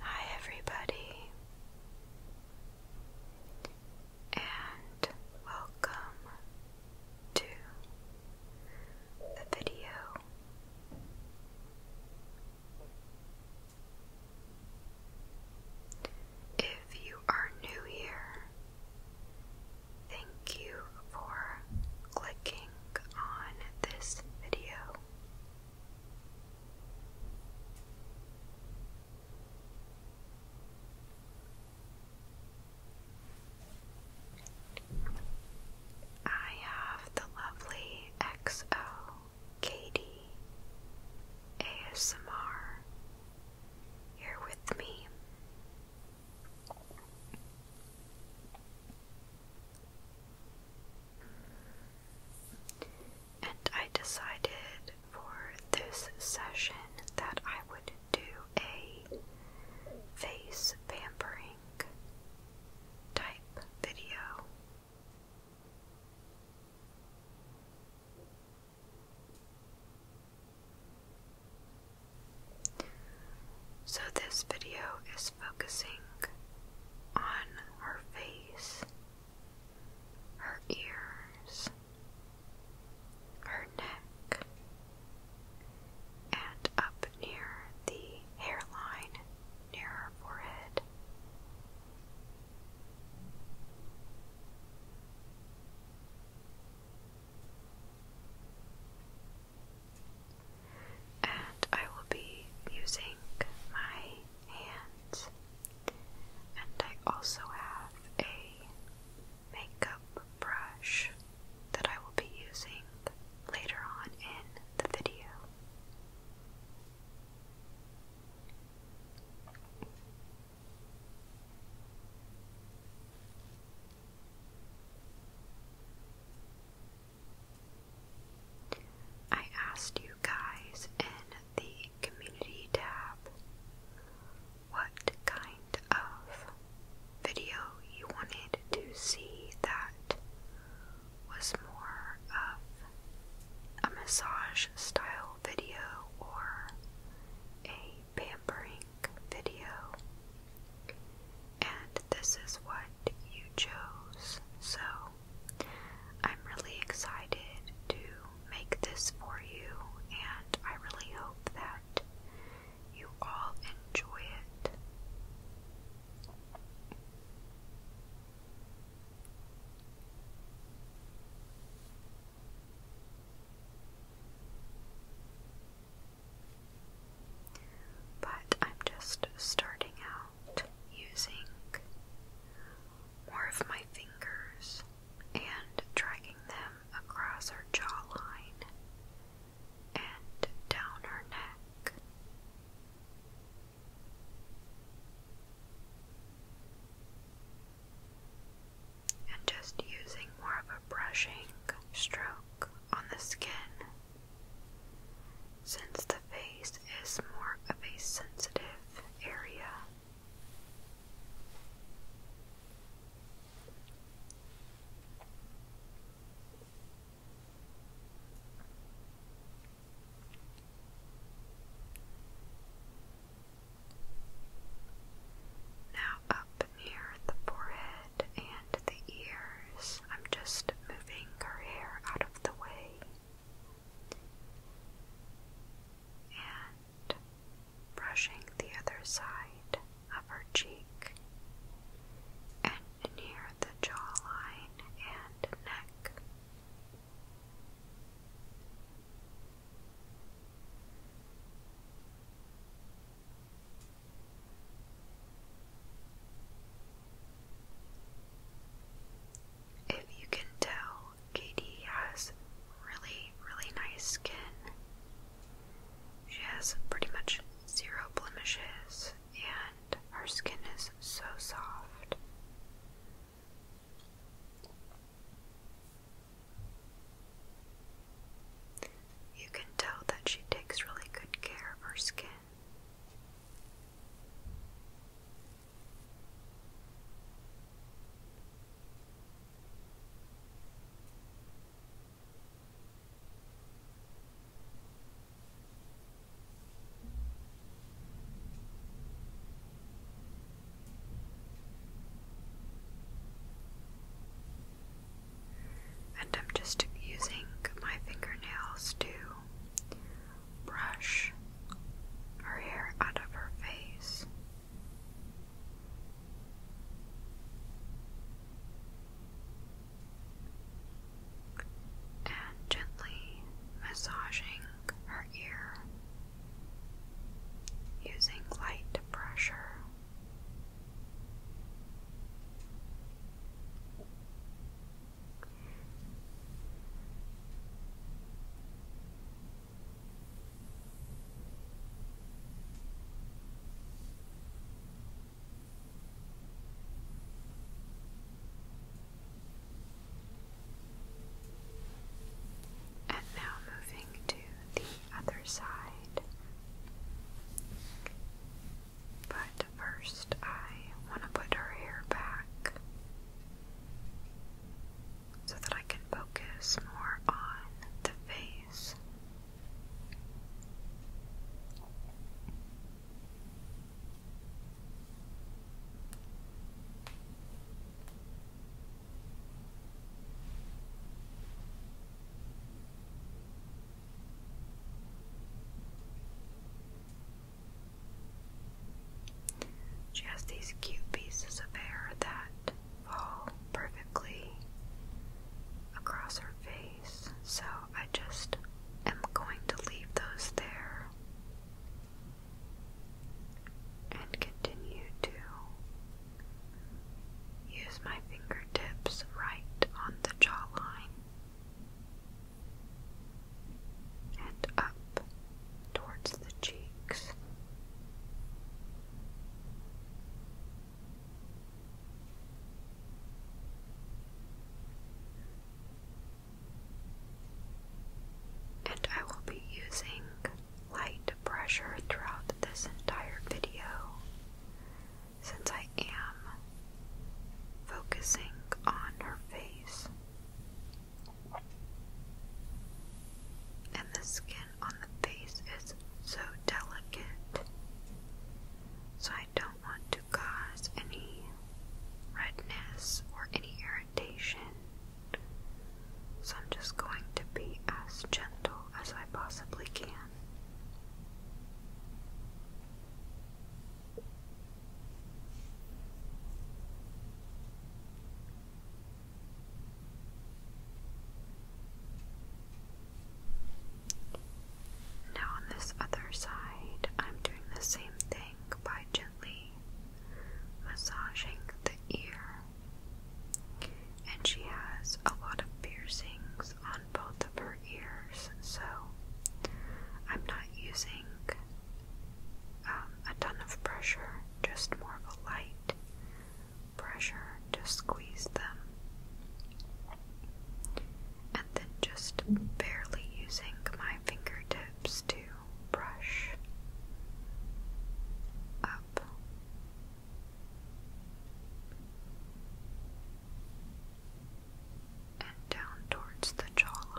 Hi, everybody and welcome to the video. If you are new here, thank you for clicking on this video. I have the lovely XO Katie ASMR here with me. And I decided for this session that I would do a face pampering type video. So, this video is focusing on her face, her ears, her neck, and up near the hairline near her forehead. And I will be using my hands and I also have a makeup brush that I will be using later on in the video. I asked you guys in the community tab what kind of video you wanted to see that was more of a massage style video or a pampering video. And this is what you chose. So I'm really excited to make this for you, and I really hope that you all enjoy it. But I'm just starting out using more of my fingers and dragging them across her jawline and down her neck. And just using more of a brushing stroke on the skin, since the face is more of a sensitive area. Now, up near the forehead and the ears, I'm just moving her hair out of the way. And brushing the other side of her cheek and near the jawline and neck. If you can tell Katie has really, really nice skin. She has pretty much zero blemishes, and her skin is so soft. You can tell that she takes really good care of her skin. And I'm just using my fingernails to brush her hair out of her face gently massaging her ear using light pressure. And now moving to the other side. But first, I want to put her hair back so that I can focus more on the face. She has these cute pieces of hair that fall perfectly across her face, so I just am going to leave those there and continue to use my fingertips right on the jawline and up towards the cheeks. And I will be using light pressure throughout this entire video since I am focusing on her face and the skin on the face is so delicate. So I don't want to cause any redness or any irritation. So I'm just going to be as gentle as I possibly can. Now, on this other side, I'm doing the same thing by gently massaging the ear. And she has a lot of piercings on both of her ears, so I'm not using um, a ton of pressure, just more of a light pressure to squeeze them. And then just barely using my fingertips to brush up. And down towards the jawline.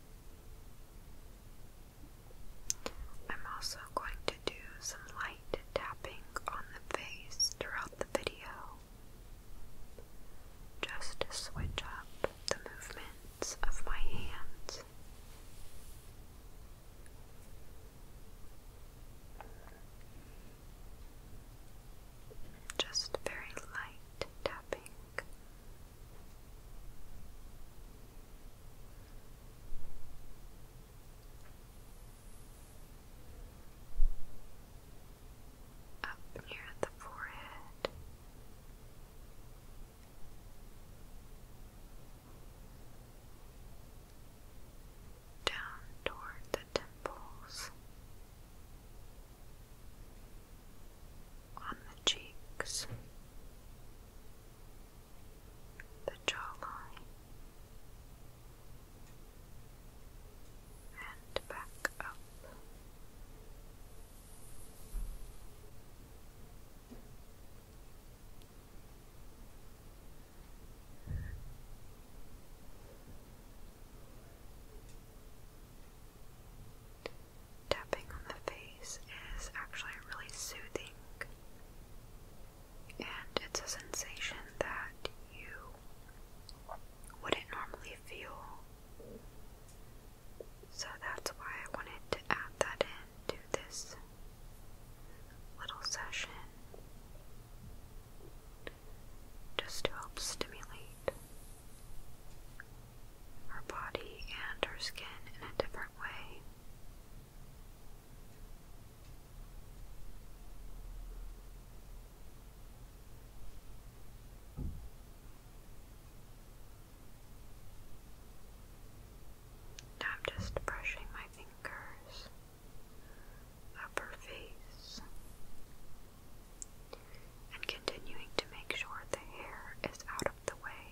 I'm also going to do some light tapping on the face throughout the video just to switch up the movements of my hands. Just very light tapping up near the forehead. Down toward the temples, on the cheeks, the jawline, and back up. Tapping on the face is actually really soothing, and it's a sensation that you wouldn't normally feel. So that's why I wanted to add that in to this little session just to help stimulate her body and her skin in a different way. I'm just brushing my fingers up her face and continuing to make sure the hair is out of the way.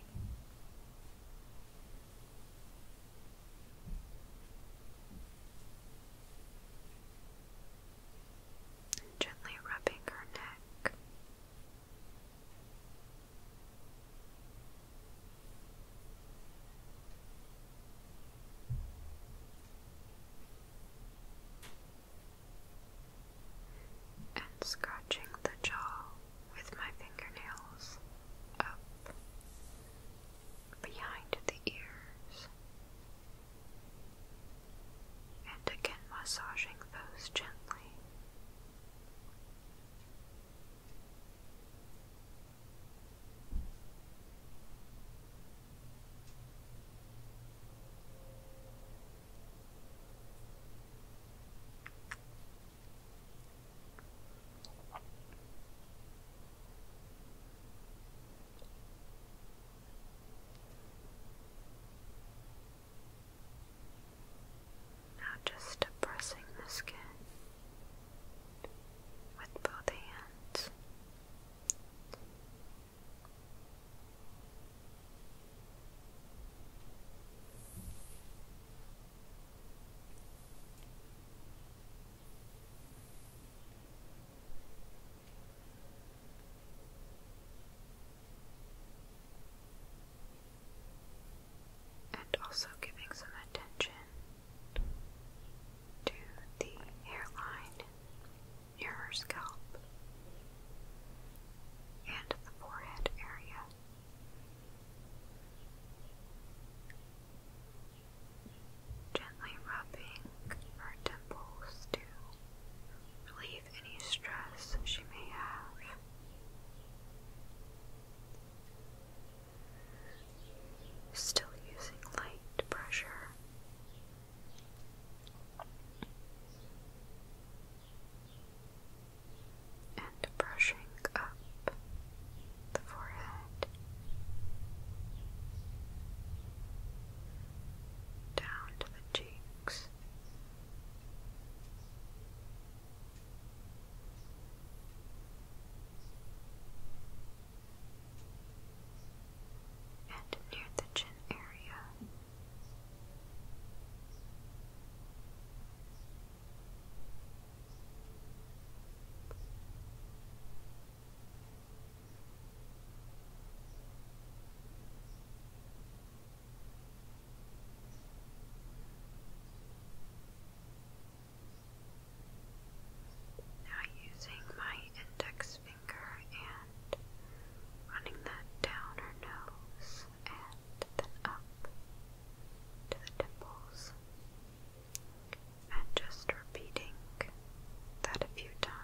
gently rubbing her neck and scratching the jaw with my fingernails up behind the ears, and again massaging those gently. Now, just depressing the skin with both hands. And also giving some attention to the hairline near her scalp and the forehead area. Gently rubbing her temples to relieve any stress she may have. Still using light pressure and brushing up the forehead, down to the cheeks. And near the chin area, now, using my index finger hand, running that down her nose and then up to the dimples, and just repeating that a few times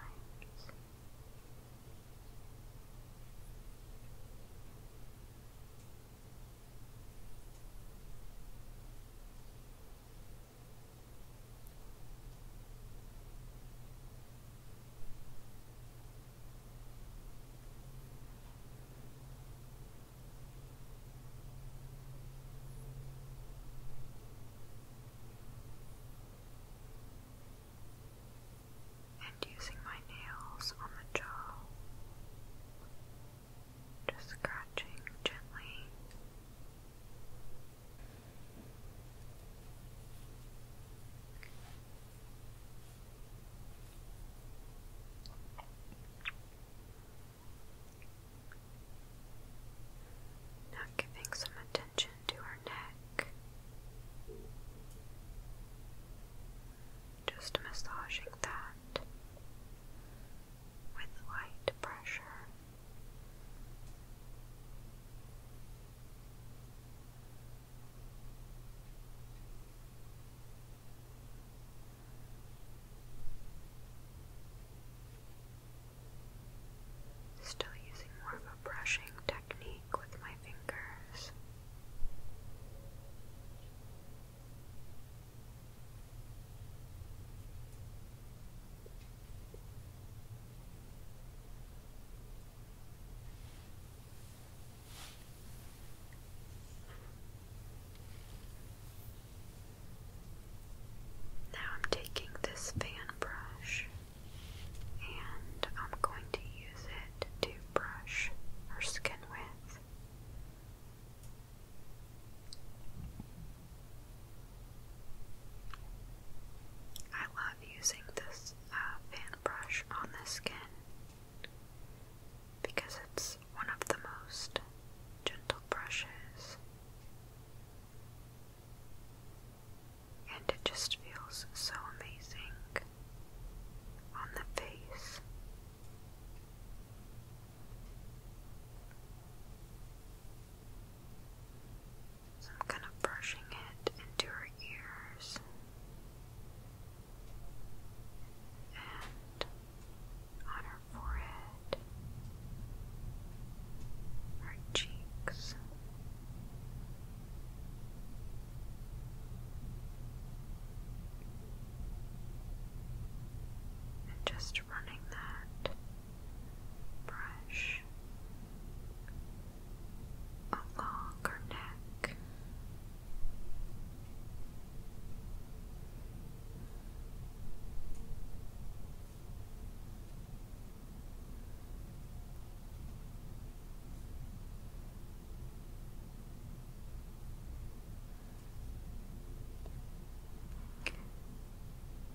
and using my nails on the jaw, just scratching gently. Now giving some attention to her neck. Just massaging that with light pressure. Still using more of a brushing technique with my fingers. Now I'm taking this fan brush and I'm going to use it to brush her skin with. I using this uh, fan brush on the skin because it's one of the most gentle brushes and it just feels so amazing on the face. So kind of brushing it into her ears and on her forehead, her cheeks. And just running that brush along her neck.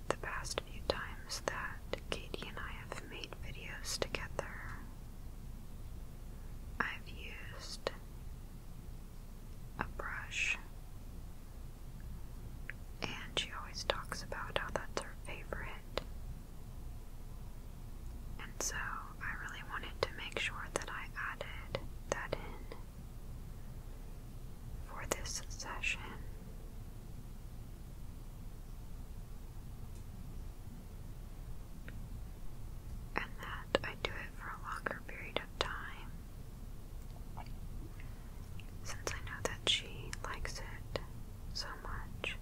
The past few times that Katie and I have made videos together, I've used a brush, and she always talks about how that's her favorite. And so I really wanted to make sure that I added that in for this session and that I do it for a longer period of time. Since I know that she likes it so much.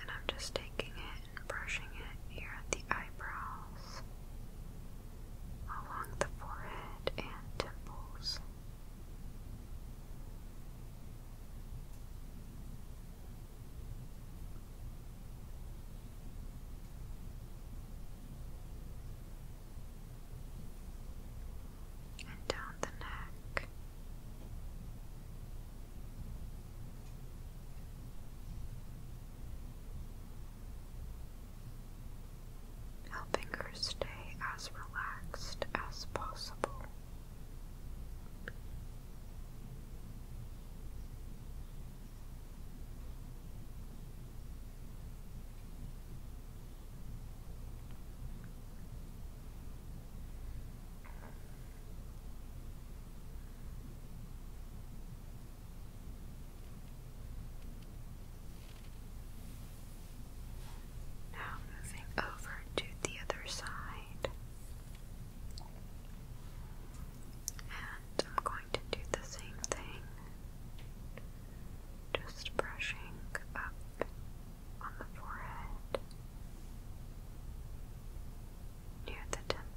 And I'm just taking it and brushing it here at the eyebrows, along the forehead and temples. And down the neck, helping her stay as relaxed as possible. Now moving over to the other side. And I'm going to do the same thing. Just brushing up on the forehead near the temples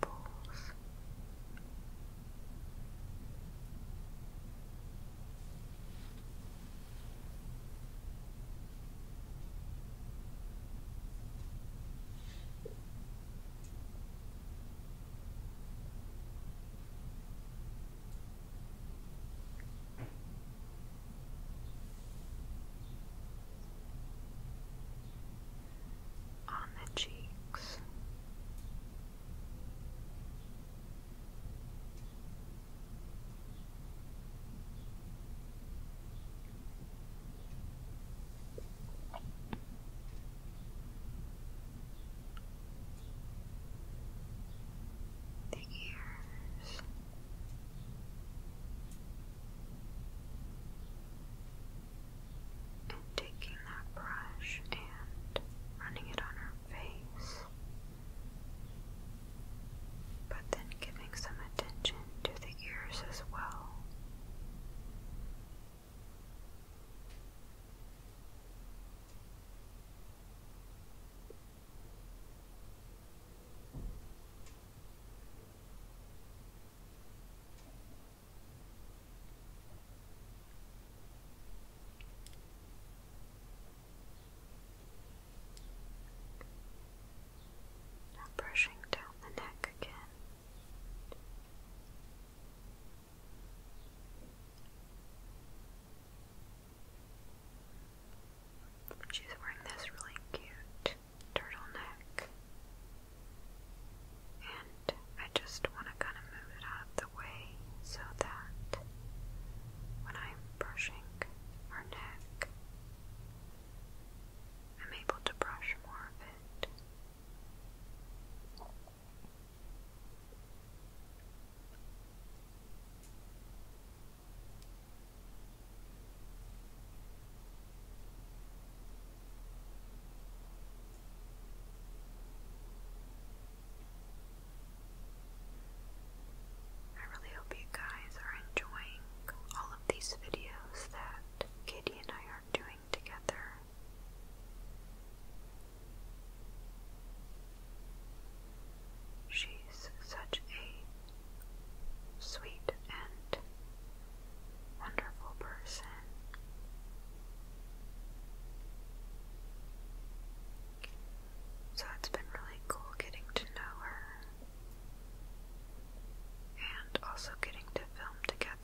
on the cheeks. The ears and taking that brush and running it on her face, but then giving some attention to the ears as well brushing down the neck again. She's wearing this really cute turtleneck. And I just want to kind of move it out the way so that when I'm brushing her neck, I'm able to brush more of it. I really hope you guys are enjoying all of these videos that Katie and I are doing together. She's such a sweet and wonderful person. So it's been really cool getting to know her and also getting to film together.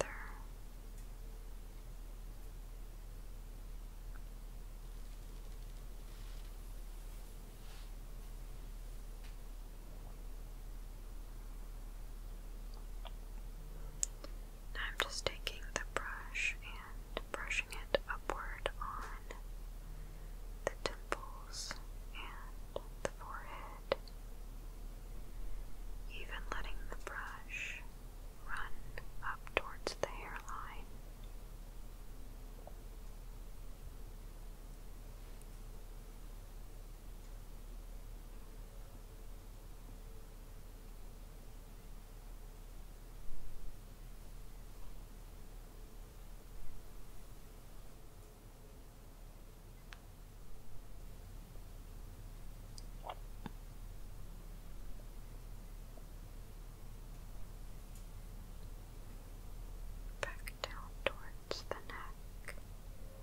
I'm just taking the brush and brushing it upward on the temples and the forehead, even letting the brush run up towards the hairline. Back down towards the neck.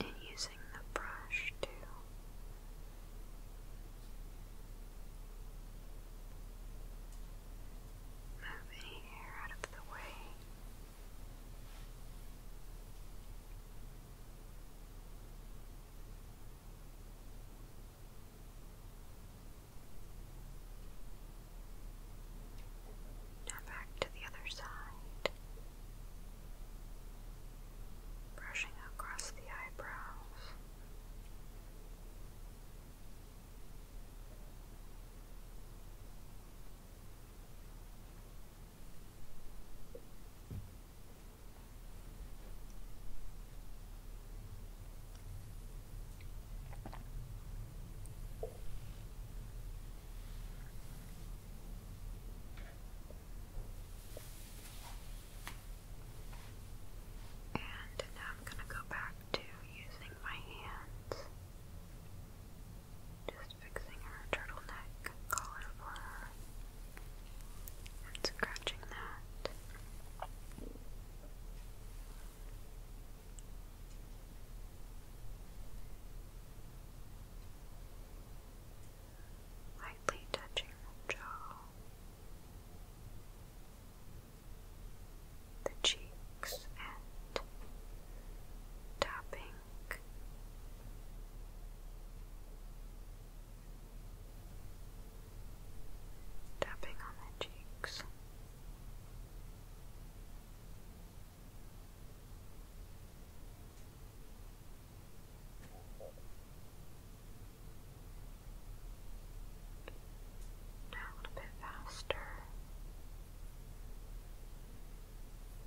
and using the brush to move any hair out of the way. Now back to the other side, brushing across the eyebrows. And now I'm going to go back to using my hands, just fixing her turtleneck collar for her and scratching that lightly touching the jaw, the cheeks, and tapping tapping on the cheeks. Now a little bit faster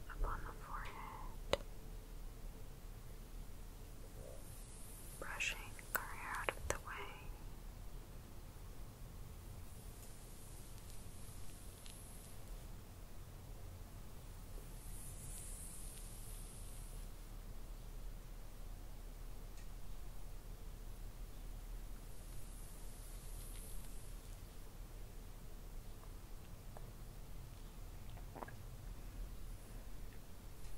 up on the forehead brushing her hair out of the way.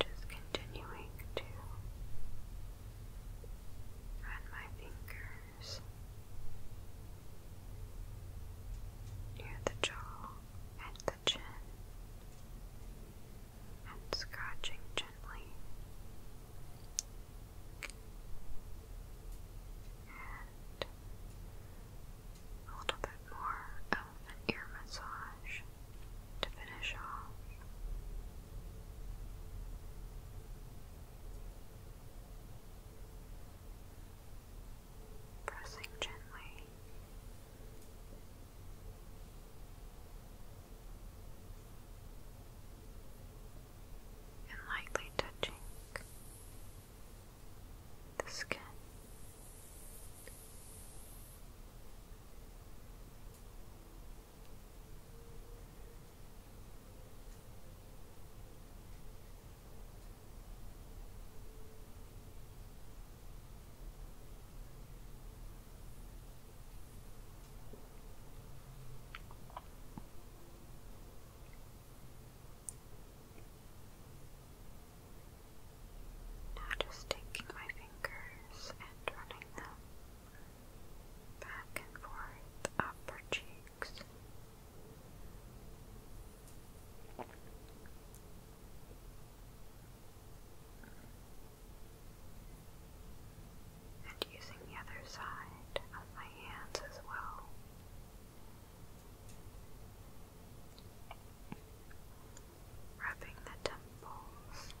Just continuing to run my fingers near the jaw and the chin and scratching gently. And a little bit more ear massage to finish off. Pressing gently and lightly touching the skin. Now just taking my fingers and running them back and forth up her cheeks and using the other side of my hands as well. Rubbing the temples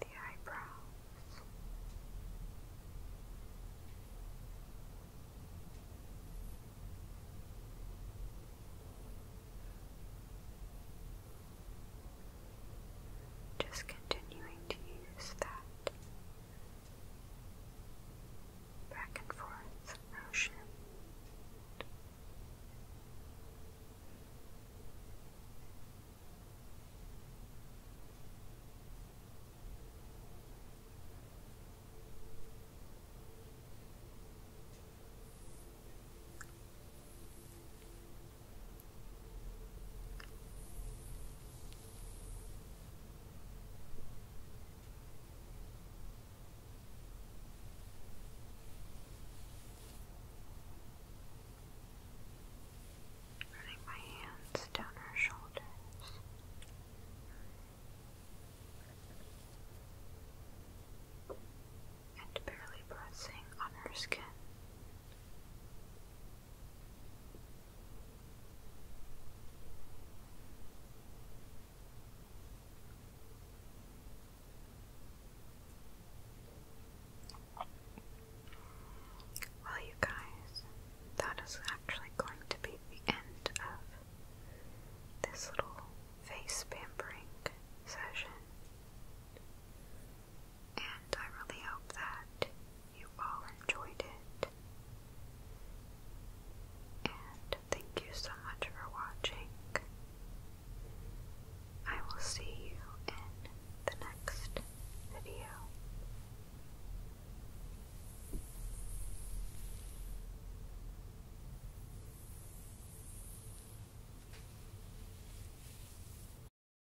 the eyebrows. Just continuing to use that back and forth motion. Running my hands down her shoulders. And barely pressing on her skin. Well, you guys, that is actually going to be the end of this little face pampering session and I really hope that you all enjoyed it. And thank you so much for watching. I will see you in the next video.